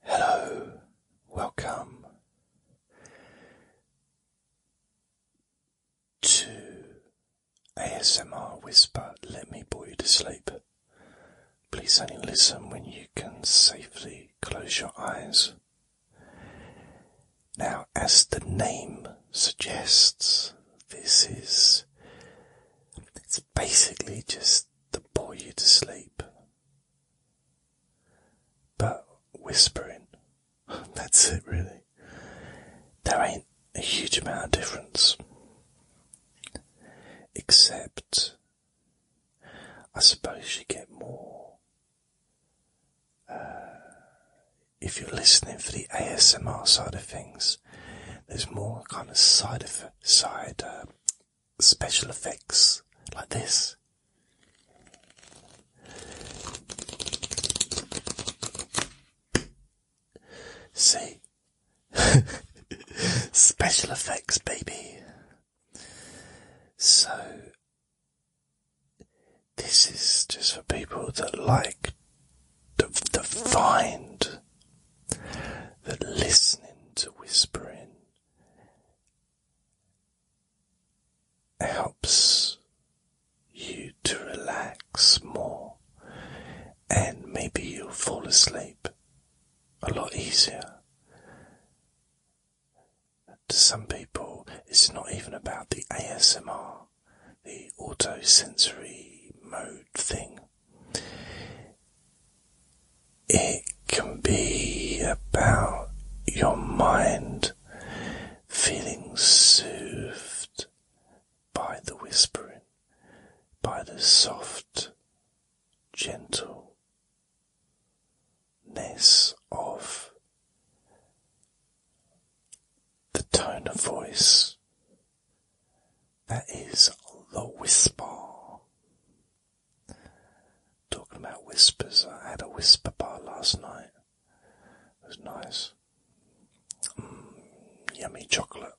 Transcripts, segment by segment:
Hello, welcome to ASMR Whisper. Let me bore you to sleep. Please only listen when you can safely close your eyes. Now, as the name suggests, this is. It's basically just to bore you to sleep. But whispering, that's it really. There ain't a huge amount of difference. Except, I suppose you get more uh, if you're listening for the ASMR side of things. There's more kind of side of side uh, special effects like this. See? special effects, baby. So, this is just for people that like to, to find that listening to whispering helps you to relax more, and maybe you'll fall asleep a lot easier. To some people, it's not even about the ASMR, the auto sensory mode thing. It can be about your mind feeling soothed by the whispering, by the soft, gentle ness of the tone of voice. That is the whisper. Talking about whispers, I had a whisper bar last night. It was nice. Mm, yummy chocolate.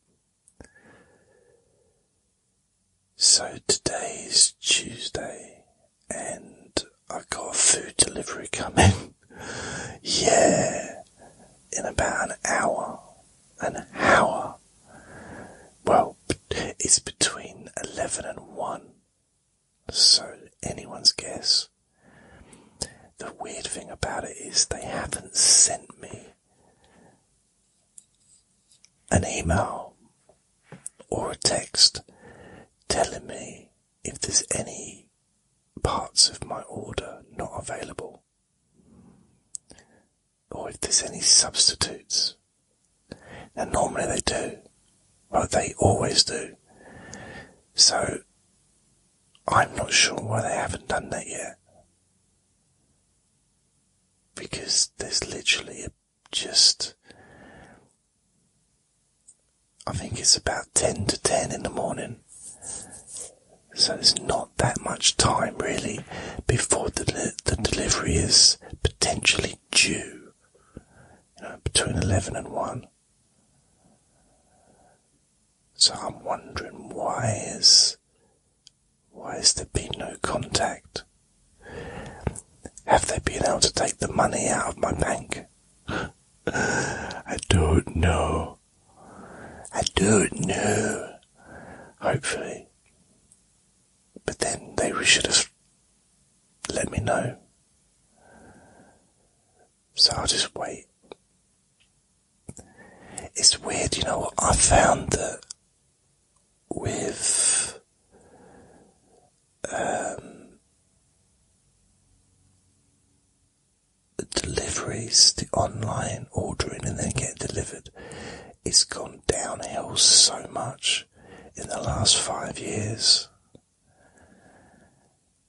So today is Tuesday and I have got food delivery coming. yeah. In about an hour. An hour. Well, it's between 11 and 1, so anyone's guess. The weird thing about it is they haven't sent me an email or a text telling me if there's any parts of my order not available or if there's any substitutes. and normally they do. but they always do. So, I'm not sure why they haven't done that yet. Because there's literally just, I think it's about 10 to 10 in the morning. So there's not that much time really before the, the delivery is potentially be due between 11 and 1. So I'm wondering why is why has there been no contact? Have they been able to take the money out of my bank? I don't know. I don't know. Hopefully. But then they should have let me know. So I'll just wait. It's weird, you know I found that with um, deliveries, the online ordering and then getting delivered, it's gone downhill so much in the last five years.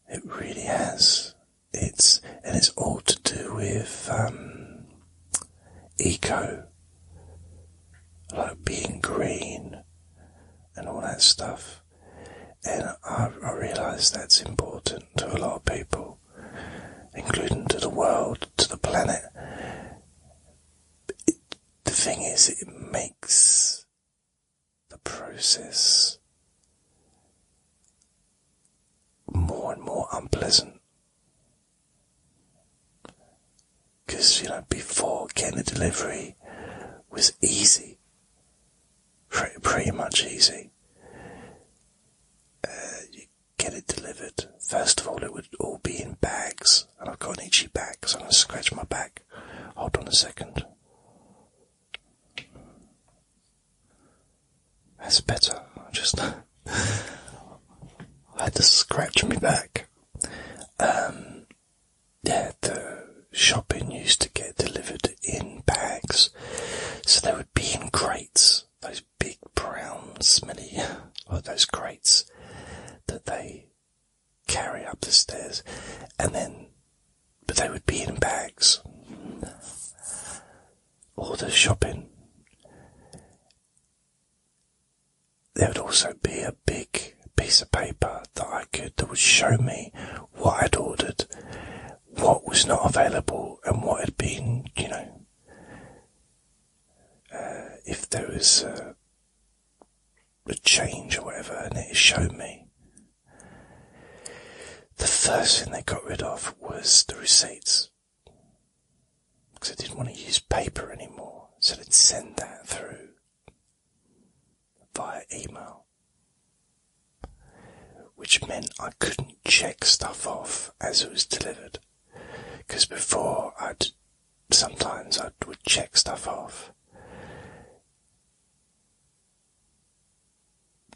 It really has. It's and it's all to do with um, eco, like being green, and all that stuff. And I, realise that's important to a lot of people, including to the world, to the planet the thing is, it makes the process more and more unpleasant. Because, you know, before getting a delivery was easy, pretty, much easy. Uh, you get it delivered. First of all, it would all be in bags and I've got an itchy back, so I'm going to scratch my back. Hold on a second. That's better. I just had to scratch my back. Um, yeah, the shopping used to get delivered in bags, so they would be in crates. Those big brown smelly, or those crates that they carry up the stairs, and then, but they would be in bags. All the shopping. There would also be a big piece of paper that I could, that would show me what I'd ordered, what was not available, and what had been, you know, uh, if there is was. Uh, the change or whatever, and it showed me. The first thing they got rid of was the receipts. Because I didn't want to use paper anymore, so they'd send that through via email. Which meant I couldn't check stuff off as it was delivered. Because before I'd sometimes I would check stuff off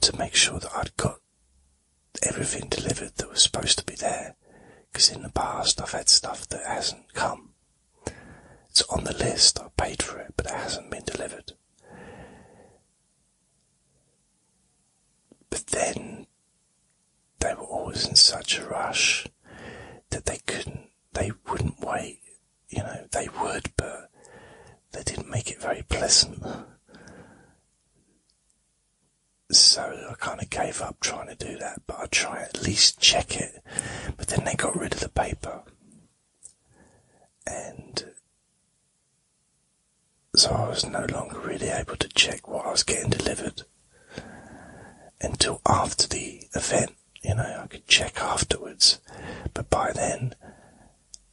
to make sure that I'd got everything delivered that was supposed to be there. Because in the past I've had stuff that hasn't come. It's on the list, I paid for it, but it hasn't been delivered. But then they were always in such a rush that they couldn't, they wouldn't wait. You know, they would, but they didn't make it very pleasant. So I kind of gave up trying to do that, but I try at least check it. But then they got rid of the paper, and so I was no longer really able to check what I was getting delivered until after the event. You know, I could check afterwards, but by then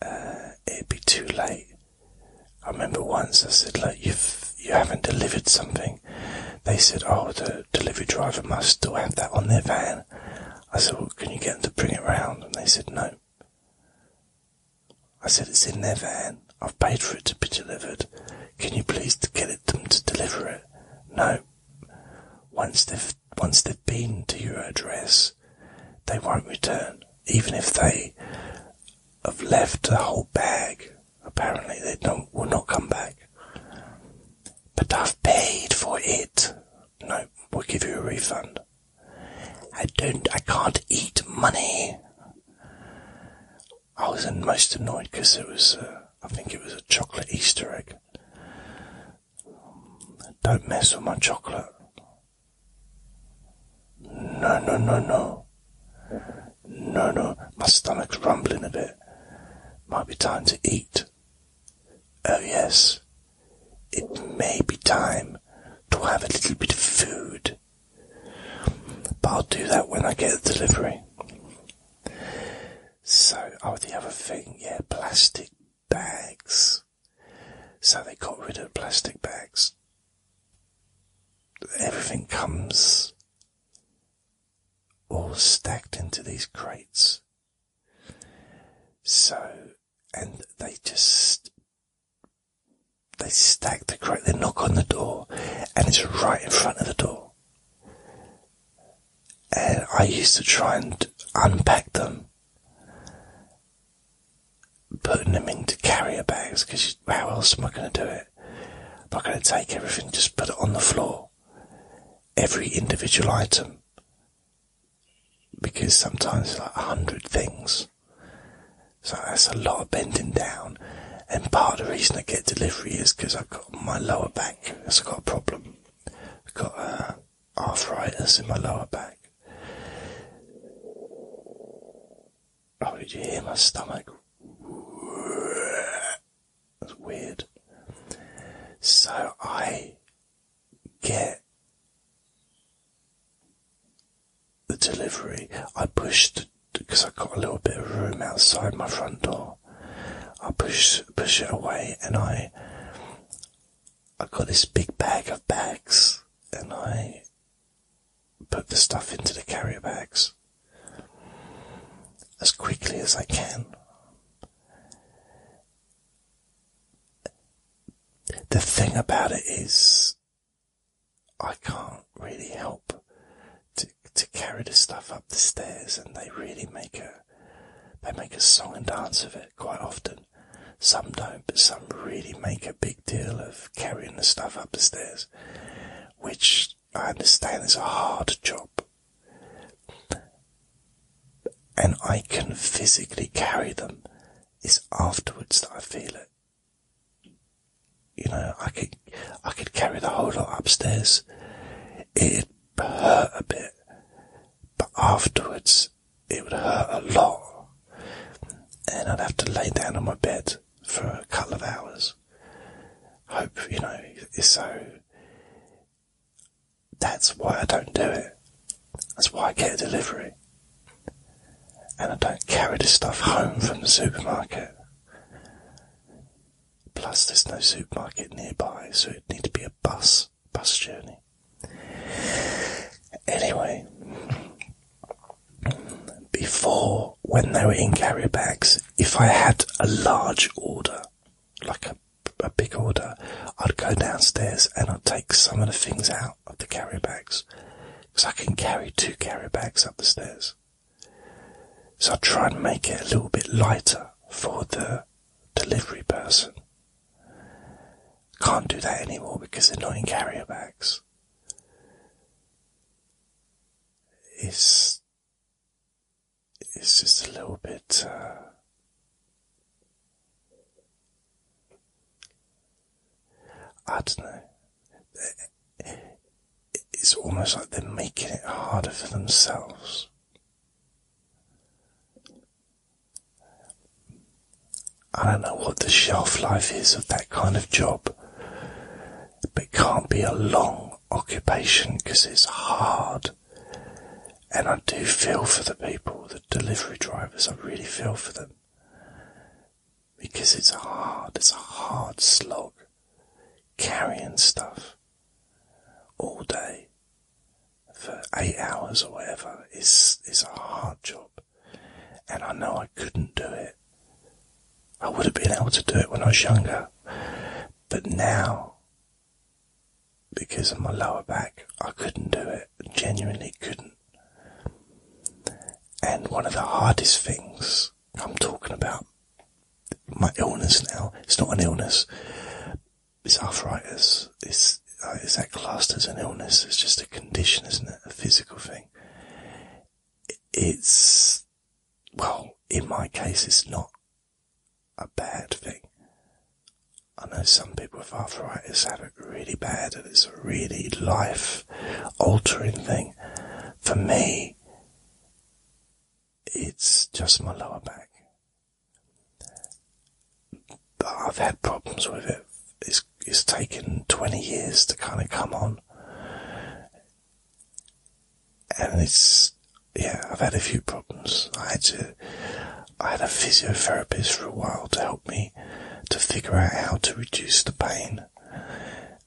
uh, it'd be too late. I remember once I said, "Look, you've you haven't delivered something." They said, "Oh, the delivery driver must still have that on their van." I said, "Well, can you get them to bring it round?" And they said, "No." I said, "It's in their van. I've paid for it to be delivered. Can you please get them to deliver it? No. Once they've once they've been to your address, they won't return. Even if they have left a whole bag, apparently they don't will not come back. But I've paid for it. No, we'll give you a refund. I don't. I can't eat money. I was most annoyed because it was, uh, I think it was a chocolate Easter egg. Don't mess with my chocolate. No, no, no, no. No, no. My stomach's rumbling a bit. Might be time to eat. Oh, yes. It may be time to have a little bit of food. But I'll do that when I get the delivery. So, oh, the other thing, yeah, plastic bags. So they got rid of plastic bags. Everything comes all stacked into these crates. So, and they just, they stack the crate, they knock on the door, and it's right in front of the door. Uh, I used to try and unpack them, putting them into carrier bags because how else am I going to do it? I'm not going to take everything, and just put it on the floor, every individual item, because sometimes it's like a hundred things. So that's a lot of bending down and part of the reason I get delivery is because I've got my lower back has got a problem. I've got uh, arthritis in my lower back. Oh, did you hear my stomach? That's weird. So I get the delivery. I pushed because I got a little bit of room outside my front door. I push push it away, and I I got this big bag of bags, and I put the stuff into the carrier bags as quickly as I can. The thing about it is, I can't really help to to carry the stuff up the stairs, and they really make a they make a song and dance of it quite often. Some don't, but some really make a big deal of carrying the stuff up the stairs, which I understand is a hard job. And I can physically carry them. It's afterwards that I feel it. You know, I could, I could carry the whole lot upstairs. it hurt a bit, but afterwards it would hurt a lot, and I'd have to lay down on my bed for a couple of hours. Hope, you know, so that's why I don't do it. That's why I get a delivery. And I don't carry this stuff home from the supermarket. Plus, there's no supermarket nearby, so it'd need to be a bus bus journey. Anyway, before when they were in carrier bags, if I had a large order, like a, a big order, I'd go downstairs and I'd take some of the things out of the carrier bags because I can carry two carrier bags up the stairs. So I try and make it a little bit lighter for the delivery person. Can't do that anymore because they're not in carrier bags. It's, it's just a little bit, uh, I don't know. It's almost like they're making it harder for themselves. I don't know what the shelf life is of that kind of job, but it can't be a long occupation because it's hard. And I do feel for the people, the delivery drivers, I really feel for them. Because it's hard, it's a hard slog carrying stuff all day for eight hours or whatever is is a hard job, and I know I couldn't do it. I would have been able to do it when I was younger, but now, because of my lower back, I couldn't do it. Genuinely couldn't. And one of the hardest things I'm talking about my illness now. It's not an illness. It's arthritis. It's uh, is that classed as an illness? It's just a condition, isn't it? A physical thing. It's well, in my case, it's not a bad thing. I know some people with arthritis have it really bad, and it's a really life-altering thing. For me, it's just my lower back. But I've had problems with it. It's, it's taken 20 years to kind of come on. And it's, yeah, I've had a few problems. I had to, I had a physiotherapist for a while to help me to figure out how to reduce the pain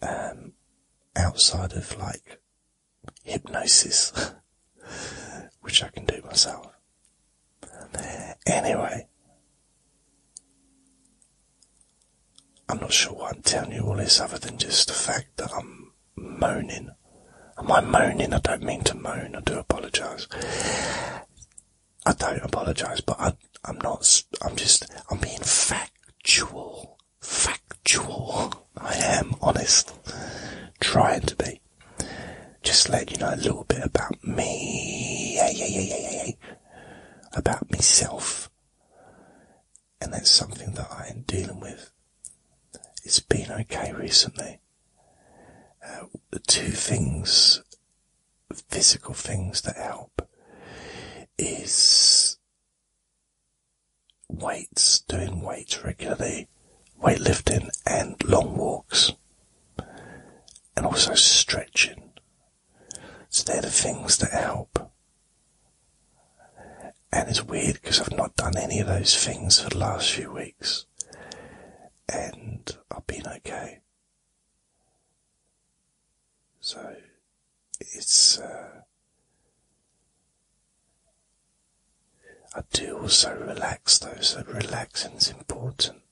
um, outside of like hypnosis, which I can do myself. Anyway, I'm not sure why I'm telling you all this other than just the fact that I'm moaning. Am I moaning? I don't mean to moan. I do apologise. I don't apologise, but I, I'm not. I'm just. I'm being factual factual. I am honest. Trying to be. Just let you know a little bit about me. About myself. And that's something that I am dealing with. It's been okay recently. Uh, the two things, physical things that help is weights, doing weights regularly, weightlifting and long walks, and also stretching. So they're the things that help. And it's weird because I've not done any of those things for the last few weeks. And I've been okay. So it's, uh, I do also relax though, so relaxing is important.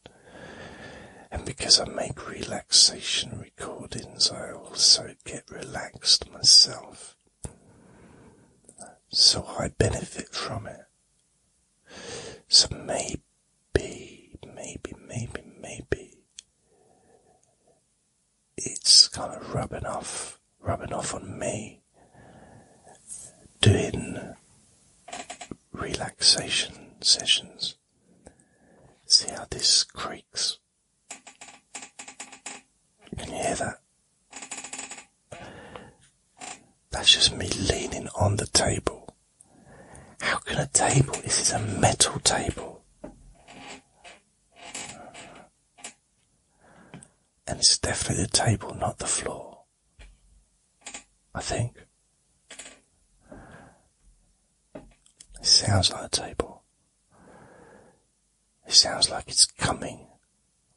And because I make relaxation recordings, I also get relaxed myself. So I benefit from it. So maybe, maybe, maybe, maybe it's kind of rubbing off, rubbing off on me. Doing relaxation sessions. See how this creaks? Can you hear that? That's just me leaning on the table. How can a table, this is a metal table. And it's definitely the table, not the floor. I think. It sounds like a table. It sounds like it's coming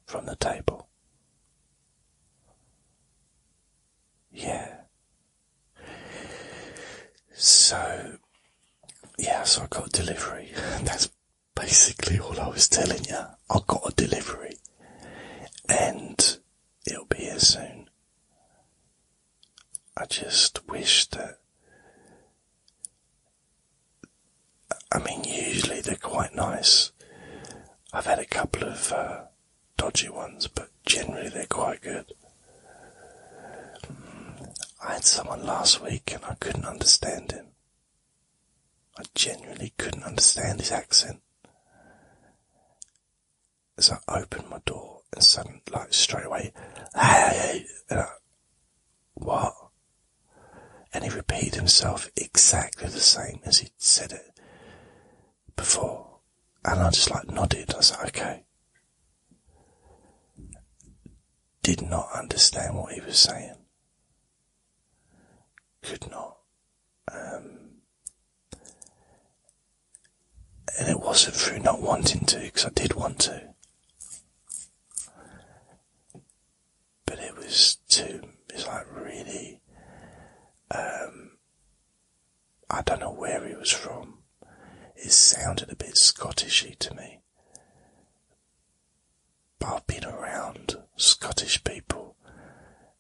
from the table. Yeah. So, yeah, so I got delivery. That's basically all I was telling you. I got a delivery, and it'll be here soon. I just wish that. I mean, usually they're quite nice. I've had a couple of uh, dodgy ones, but generally they're quite good. Mm, I had someone last week and I couldn't understand him. I genuinely couldn't understand his accent. As I opened my door and suddenly, like straight away, what? And he repeated himself exactly the same as he'd said it before. And I just like nodded. I was like, okay. Did not understand what he was saying could not. Um, and it wasn't through not wanting to, because I did want to. But it was too, it's like really, um, I don't know where he was from. It sounded a bit Scottishy to me. But I've been around Scottish people.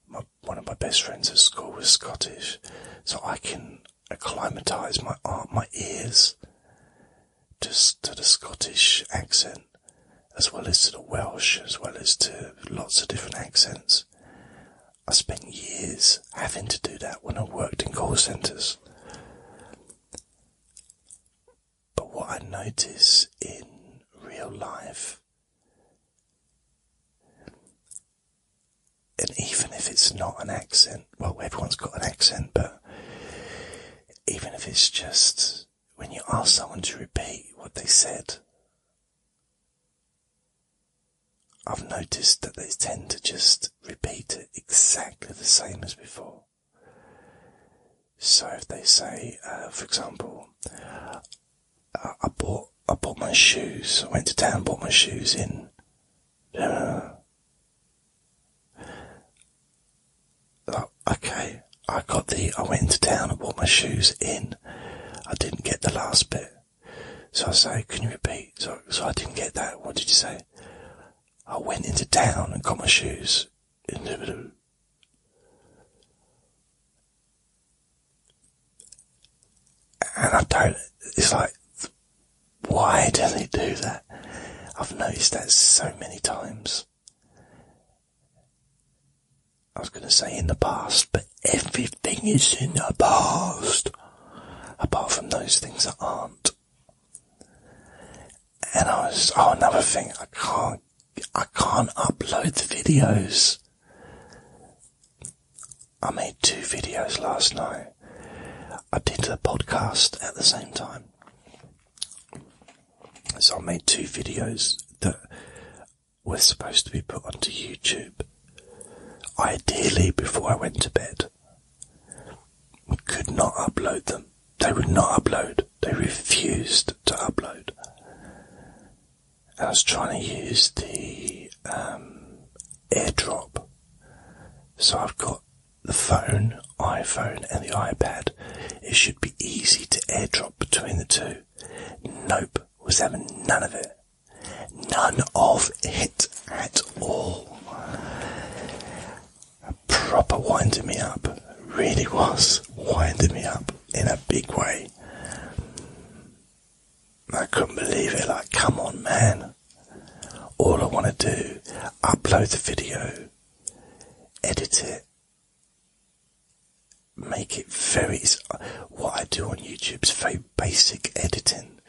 My, one of my best friends at school was Scottish, so I can acclimatise my uh, my ears to, to the Scottish accent, as well as to the Welsh, as well as to lots of different accents. I spent years having to do that when I worked in call centres. But what I notice in real life, and even if it's not an accent, well, everyone's got an accent, but even if it's just when you ask someone to repeat what they said, I've noticed that they tend to just repeat it exactly the same as before. So if they say, uh, for example, I, bought I bought my shoes. I went to town, bought my shoes in. Uh, uh, oh, okay, I got the. I went into town and bought my shoes in. I didn't get the last bit. So I say, can you repeat? So, so I didn't get that. What did you say? I went into town and got my shoes. And I don't, it's like, why do they do that? I've noticed that so many times. I was going to say in the past, but everything is in the past. Apart from those things that aren't and I was, oh, another thing, I can't, I can't upload the videos. I made two videos last night. I did the podcast at the same time. So I made two videos that were supposed to be put onto YouTube. Ideally before I went to bed. Could not upload them they would not upload. They refused to upload. I was trying to use the um, AirDrop. So I've got the phone, iPhone, and the iPad. It should be easy to AirDrop between the two. Nope, was having none of it. None of it at all proper winded me up. Really was winding me up in a big way. I couldn't believe it. Like, come on, man. All I want to do, upload the video, edit it, make it very, what I do on YouTube is very basic editing.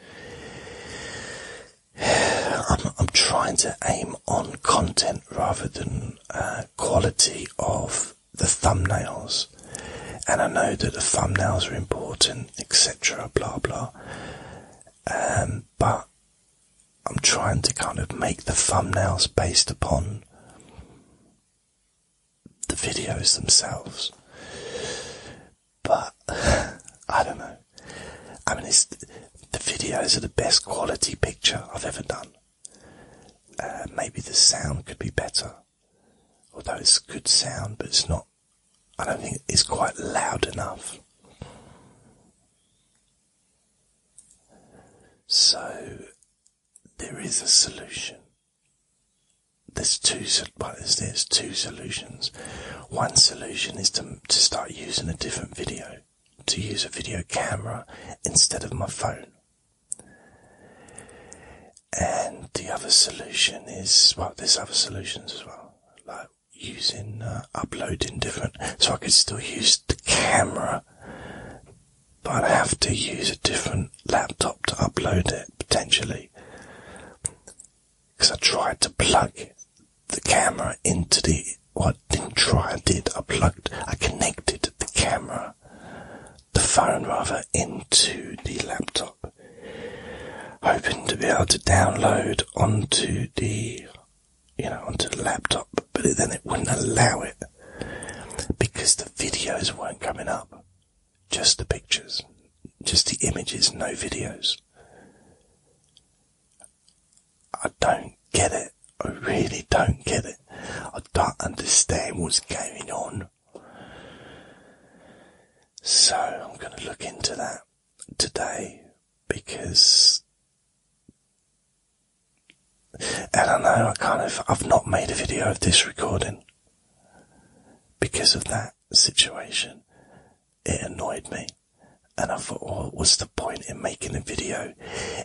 I'm, I'm trying to aim on content rather than uh, quality of the thumbnails. And I know that the thumbnails are important, etc., blah blah. Um, but I'm trying to kind of make the thumbnails based upon the videos themselves. But I don't know. I mean, the videos are the best quality picture I've ever done. Uh, maybe the sound could be better. Although it's good sound, but it's not, I don't think it's quite loud enough. So, there is a solution. There's two, well, there's two solutions. One solution is to, to start using a different video to use a video camera instead of my phone. And the other solution is, well, there's other solutions as well, like using, uh, uploading different, so I could still use the camera, but i have to use a different laptop to upload it, potentially. Because I tried to plug the camera into the what I didn't try, I did. I plugged, I connected the camera, the phone rather, into the laptop, hoping to be able to download onto the, you know, onto the laptop, but then it wouldn't allow it because the videos weren't coming up, just the pictures, just the images, no videos. I don't get it. I really don't get it. I don't understand what's going on. So I'm going to look into that today because I don't know. I kind of, I've not made a video of this recording because of that situation. It annoyed me. And I thought, well, what's the point in making a video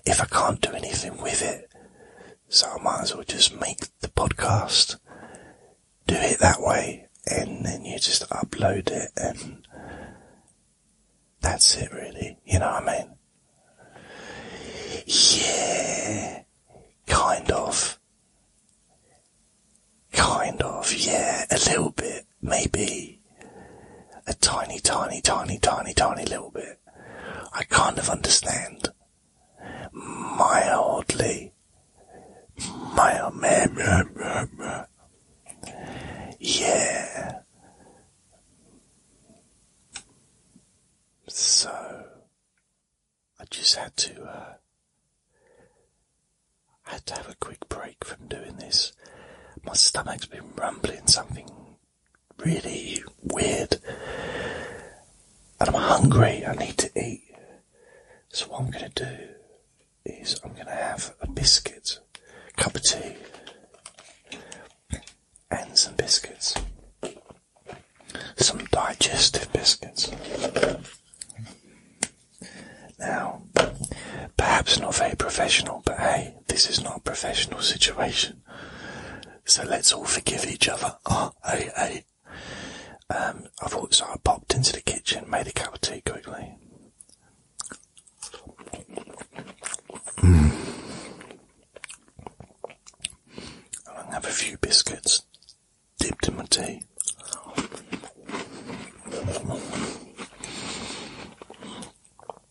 if I can't do anything with it? So I might as well just make the podcast, do it that way, and then you just upload it and that's it really, you know what I mean? Yeah, kind of. Kind of, yeah, a little bit, maybe. A tiny, tiny, tiny, tiny, tiny little bit. I kind of understand. Mildly. Mildly. Yeah. So, I just had to, uh, had to have a quick break from doing this. My stomach's been rumbling something really weird. And I'm hungry, I need to eat. So what I'm gonna do is I'm gonna have a biscuit, a cup of tea, and some biscuits. Some digestive biscuits. Now, perhaps not very professional, but hey, this is not a professional situation. So let's all forgive each other. Ah, hey, hey. Um, I thought so. I popped into the kitchen, made a cup of tea quickly. Mm. i will have a few biscuits dipped in my tea.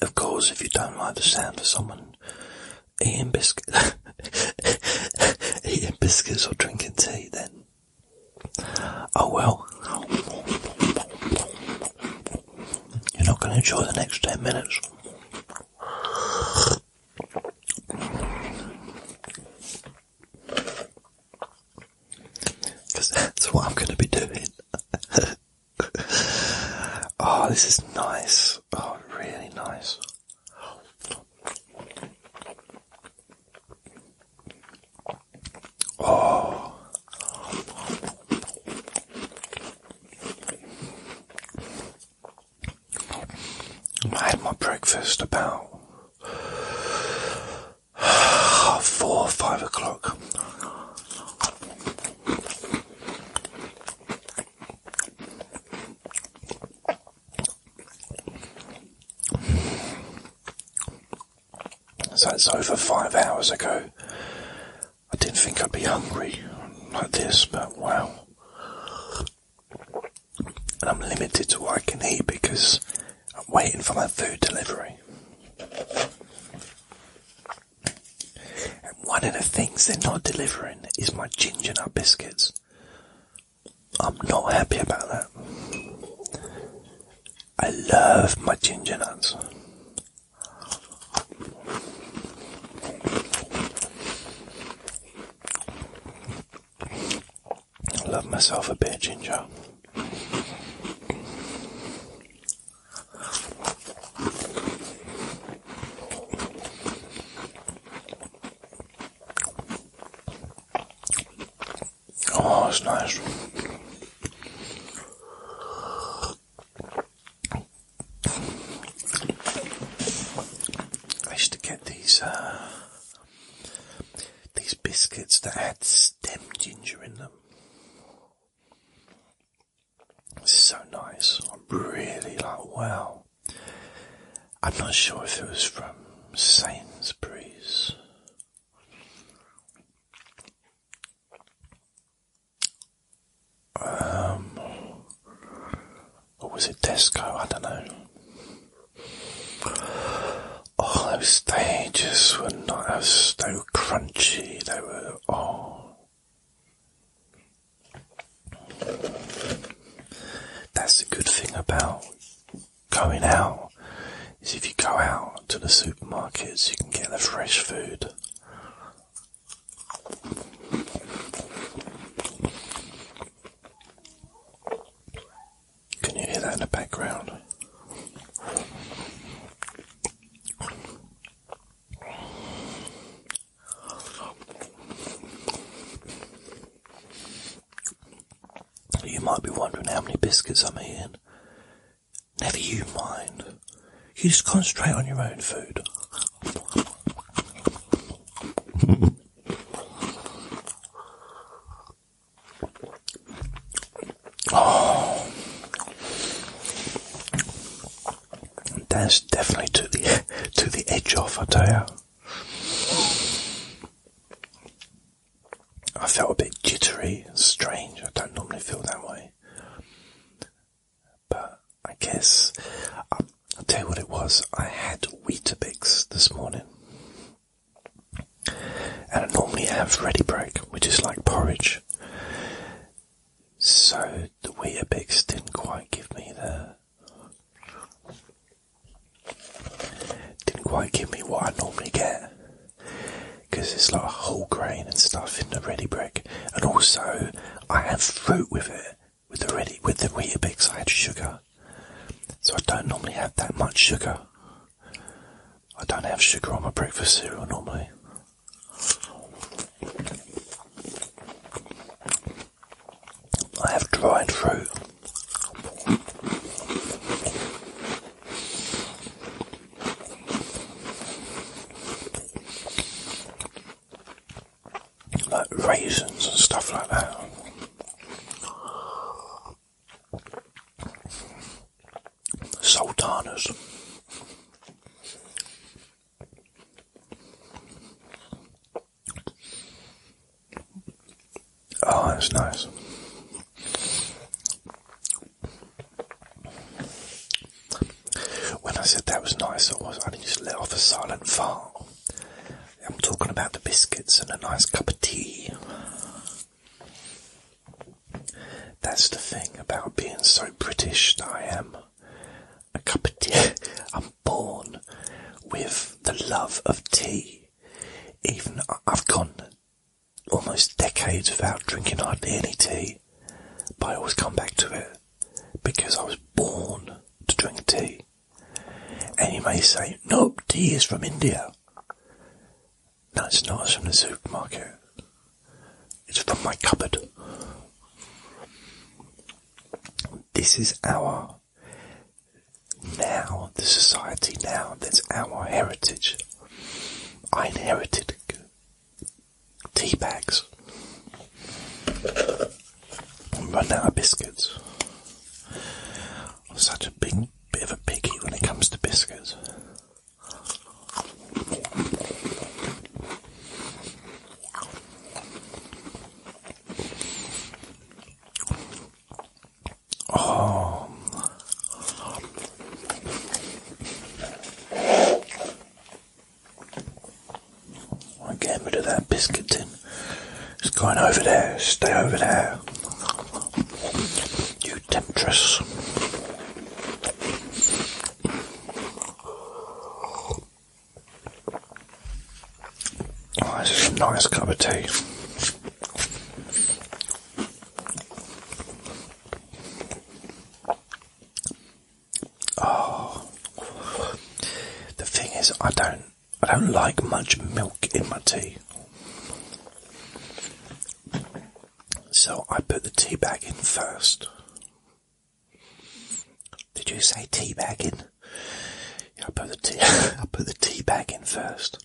Of course, if you don't like the sound of someone eating biscuits, eating biscuits or drinking tea, then Oh well. You're not going to enjoy the next 10 minutes. Because that's what I'm going to be doing. oh, this is nice. Oh, really nice. I had my breakfast about four or five o'clock. So that's over five hours ago. I didn't think I'd be hungry like this, but wow. I'm limited to what I can eat because I'm waiting for my food delivery. And one of the things they're not delivering is my ginger nut biscuits. I'm not happy about that. I love my ginger nuts. I love myself a bit ginger. Oh, it's nice. I used to get these uh, these biscuits that had stem ginger in them. This is so nice. I'm really like wow. I'm not sure if it was from Sainsbury's. Um, or was it Tesco? I don't know. Oh, those stages were not as so crunchy. They were oh, that's the good thing about going out is if you go out to the supermarkets, you can get the fresh food. Can you hear that in the background? You might be wondering how many biscuits I'm eating. Never you mind. You just concentrate on your own food. oh. That's definitely to the to the edge of. I tell you. I felt a bit jittery and strange. I don't normally feel that way. But I guess um, I'll, tell you what it was. I had Weetabix this morning. And I normally have ready break, which is like porridge. So the Weetabix didn't quite give me the didn't quite give me what I normally get because it's like whole grain and stuff in the ready brick, and also I have fruit with it with the ready with the Weetabix. I had sugar, so I don't normally have that much sugar. I don't have sugar on my breakfast cereal normally. I have dried fruit. Like raisins and stuff like that. Sultanas. Oh, that's nice. When I said that was nice, I was I didn't just let off a silent fart. I'm talking about the biscuits and a nice cup of tea. That's the thing about being so British that I am. A cup of tea. I'm born with the love of tea. Even I've gone almost decades without drinking hardly any tea, but I always come back to it because I was born to drink tea. And you may say, nope, tea is from India. No, it's not, it's from the supermarket. It's from my cupboard. This is our now. the society now, that's our heritage. I inherited tea bags. Run out of biscuits. such a big bit of a piggy when it comes to biscuits. Oh. I'm getting rid of that biscuit tin. It's going over there. Stay over there. You temptress. Oh, this a nice cup of tea. Oh, the thing is, I don't, I don't like much milk in my tea, so I put the tea bag in first. Did you say tea bag in? Yeah, I put the tea, I put the tea bag in first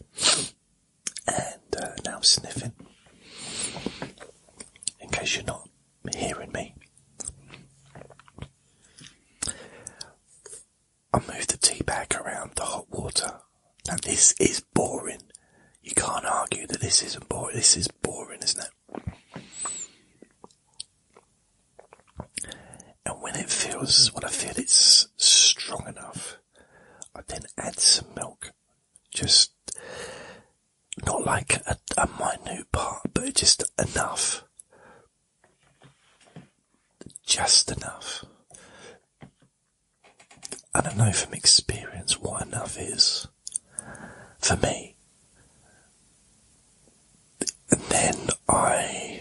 and uh, now I'm sniffing. In case you're not hearing me, I move the tea bag around the hot water. Now this is boring. You can't argue that this isn't boring. This is boring, isn't it? and when it feels, when I feel it's strong enough, I then add some milk. Just not like a, minute part, but just enough. Just enough. I don't know from experience what enough is for me. And then I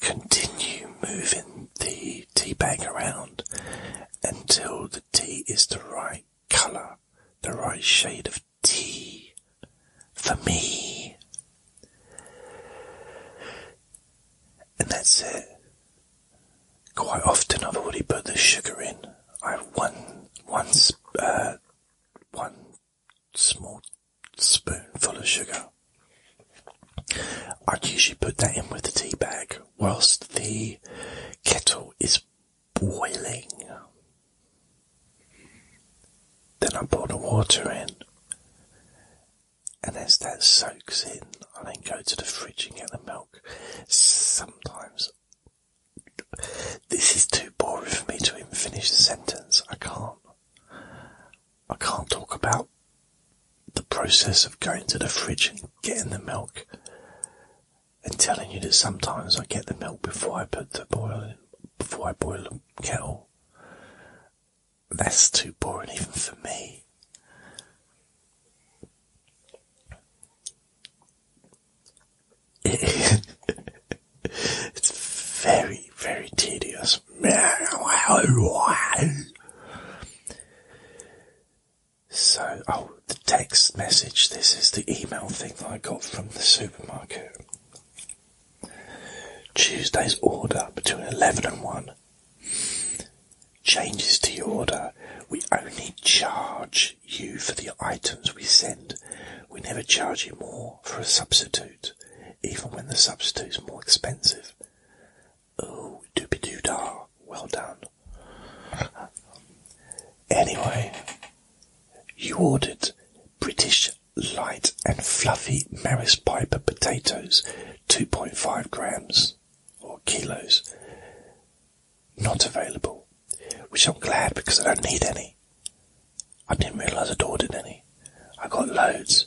Continue moving the tea bag around until the tea is the right colour, the right shade of tea for me. And that's it. Quite often I've already put the sugar in. I have one, uh, one small spoonful of sugar. I'd usually put that in with the tea bag whilst the kettle is boiling. Then I pour the water in, and as that soaks in, I then go to the fridge and get the milk. Sometimes this is too boring for me to even finish the sentence. I can't. I can't talk about the process of going to the fridge and getting the milk and telling you that sometimes I get the milk before I put the boil before I boil the kettle. That's too boring even for me. it's very, very tedious. So, oh, the text message. This is the email thing that I got from the supermarket. Tuesday's order between 11 and 1. Changes to your order. We only charge you for the items we send. We never charge you more for a substitute even when the substitute is more expensive. Oh, doopy doo da, well done. Anyway, you ordered British light and fluffy Maris Piper potatoes, 2.5 grams or kilos. Not available, which I'm glad because I don't need any. I didn't realise I'd ordered any. I got loads.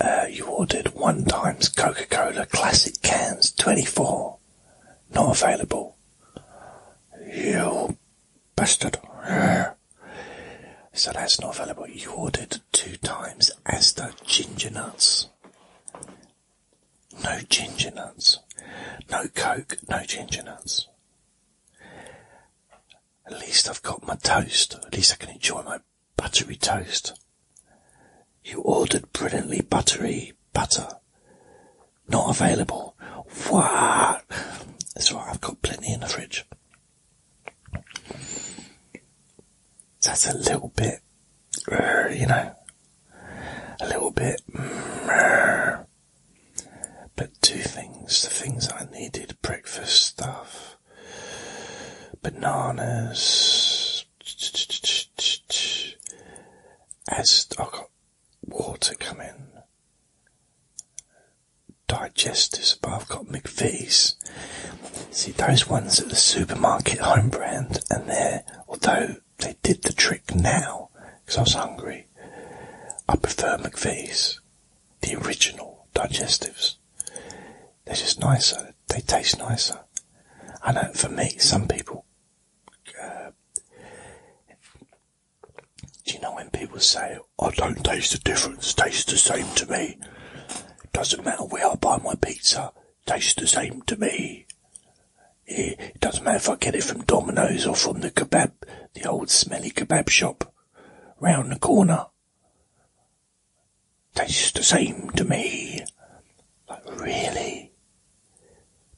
Uh, you ordered one times Coca-Cola classic cans, 24. Not available. You bastard. So that's not available. You ordered two times Asda ginger nuts. No ginger nuts. No coke, no ginger nuts. At least I've got my toast. At least I can enjoy my buttery toast. You ordered brilliantly buttery butter. Not available. What? That's right, I've got plenty in the fridge. That's a little bit, uh, you know, a little bit. Mm, but two things the things I needed breakfast stuff bananas. As I have got water coming, digestives, but I've got McVees. See, those ones at the supermarket home brand, and there. although they did the trick now, because I was hungry, I prefer McVees, the original digestives. They're just nicer. They taste nicer. I know for me, some people. Uh, do you know when people say, I don't taste the difference, tastes the same to me? Doesn't matter where I buy my pizza, tastes the same to me. It doesn't matter if I get it from Domino's or from the kebab, the old smelly kebab shop round the corner tastes the same to me. Like, really?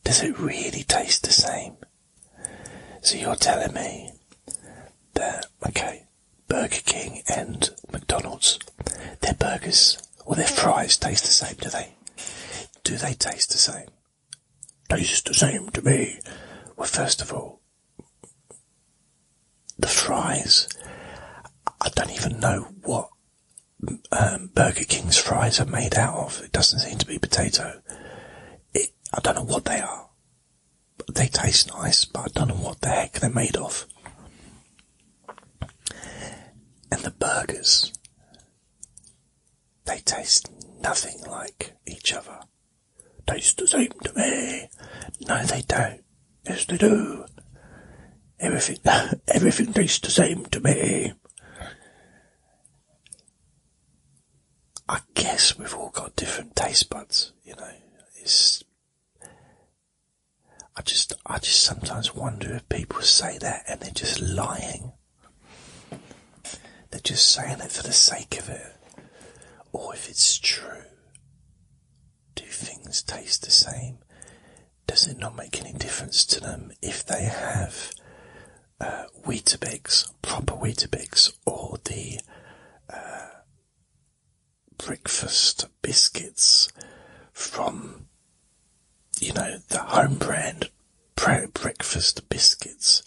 Does it really taste the same? So you're telling me that, okay, Burger King and McDonald's, their burgers or their fries taste the same, do they? Do they taste the same? Tastes the same to me. Well, first of all, the fries. I don't even know what um, Burger King's fries are made out of. It doesn't seem to be potato. I don't know what they are. They taste nice, but I don't know what the heck they're made of. And the burgers, they taste nothing like each other. Taste the same to me. No, they don't. Yes, they do. Everything, everything tastes the same to me. I guess we've all got different taste buds, you know. It's, I just, I just sometimes wonder if people say that and they're just lying. They're just saying it for the sake of it, or if it's true. Do things taste the same? Does it not make any difference to them if they have uh, proper Weetabix, or the uh, breakfast biscuits from, you know, the home brand breakfast biscuits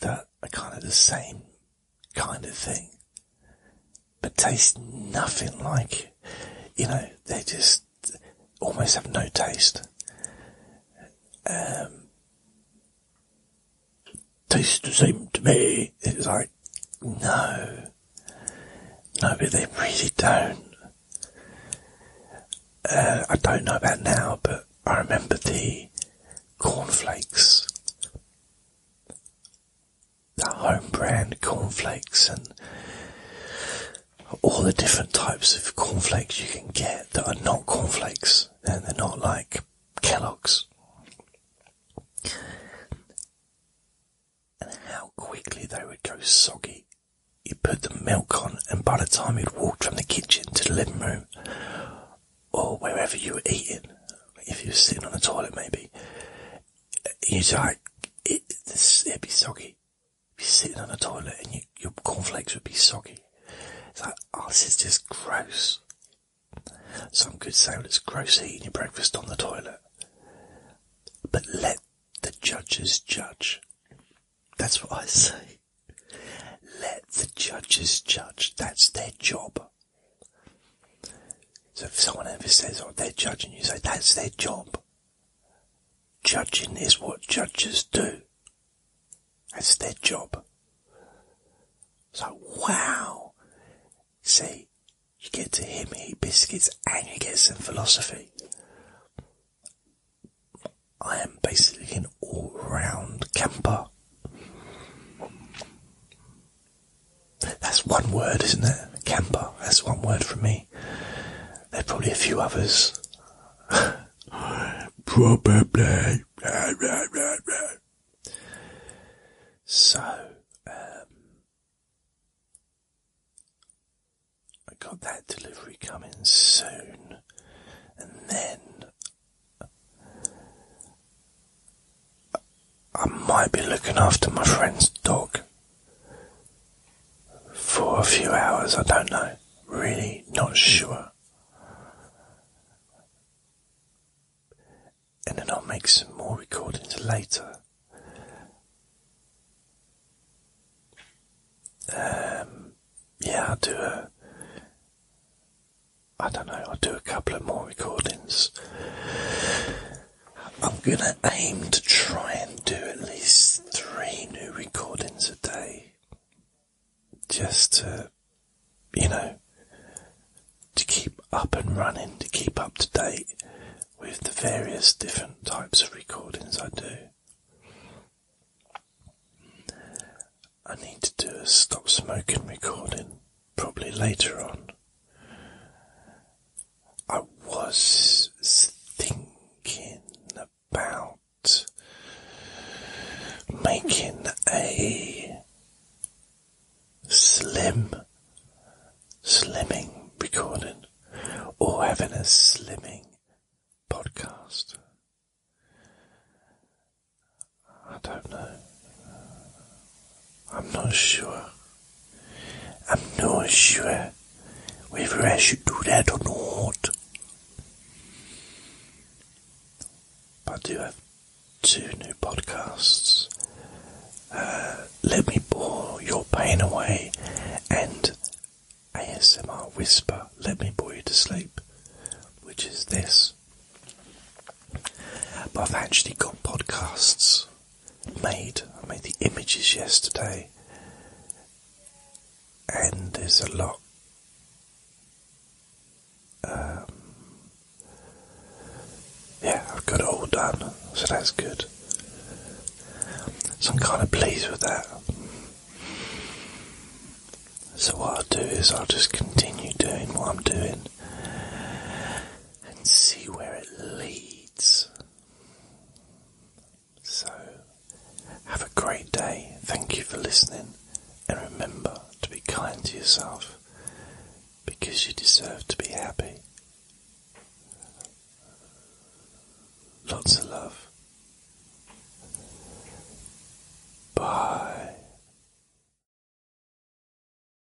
that are kind of the same kind of thing. But taste nothing like, you know, they just almost have no taste. Um, tastes the same to me. It's like, no. No, but they really don't. Uh, I don't know about now, but I remember the cornflakes the home brand cornflakes and all the different types of cornflakes you can get that are not cornflakes and they're not like Kellogg's. And how quickly they would go soggy. You put the milk on, and by the time you'd walked from the kitchen to the living room or wherever you were eating, if you're sitting on the toilet maybe, you like, it, it'd be soggy. You'd be sitting on the toilet and you, your cornflakes would be soggy. It's like, oh, this is just gross. Some could say, it's gross eating your breakfast on the toilet. But let the judges judge. That's what I say. Let the judges judge. That's their job. So if someone ever says, oh, they're judging, you say, that's their job. Judging is what judges do. That's their job. So, wow. See, you get to me eat biscuits and you get some philosophy. I am basically an all-round camper. That's one word, isn't it? Camper. That's one word from me. There are probably a few others. probably. So, um, I got that delivery coming soon, and then I might be looking after my friend's dog for a few hours, I don't know. Really not sure. And then I'll make some more recordings later. Um, yeah, I'll do a. I don't know, I'll do a couple of more recordings. I'm gonna aim to try and do at least three new recordings a day. Just to, you know, to keep up and running, to keep up to date with the various different types of recordings I do. I need to do a stop smoking recording probably later on. I was thinking about making a slim, slimming recording or having a slimming podcast. I don't know. I'm not sure. I'm not sure whether I should do that or not. But I do have two new podcasts. Uh, Let Me Bore Your Pain Away and ASMR Whisper Let Me Bore You to Sleep, which is this. But I've actually got podcasts made. I made the images yesterday, and there's a lot. Um, yeah, I've got it all done, so that's good. So I'm kind of pleased with that. So what I'll do is I'll just continue doing what I'm doing and see where it leads. So, have a great day. Thank you for listening, and remember to be kind to yourself because you deserve to be happy. Lots of love. Bye.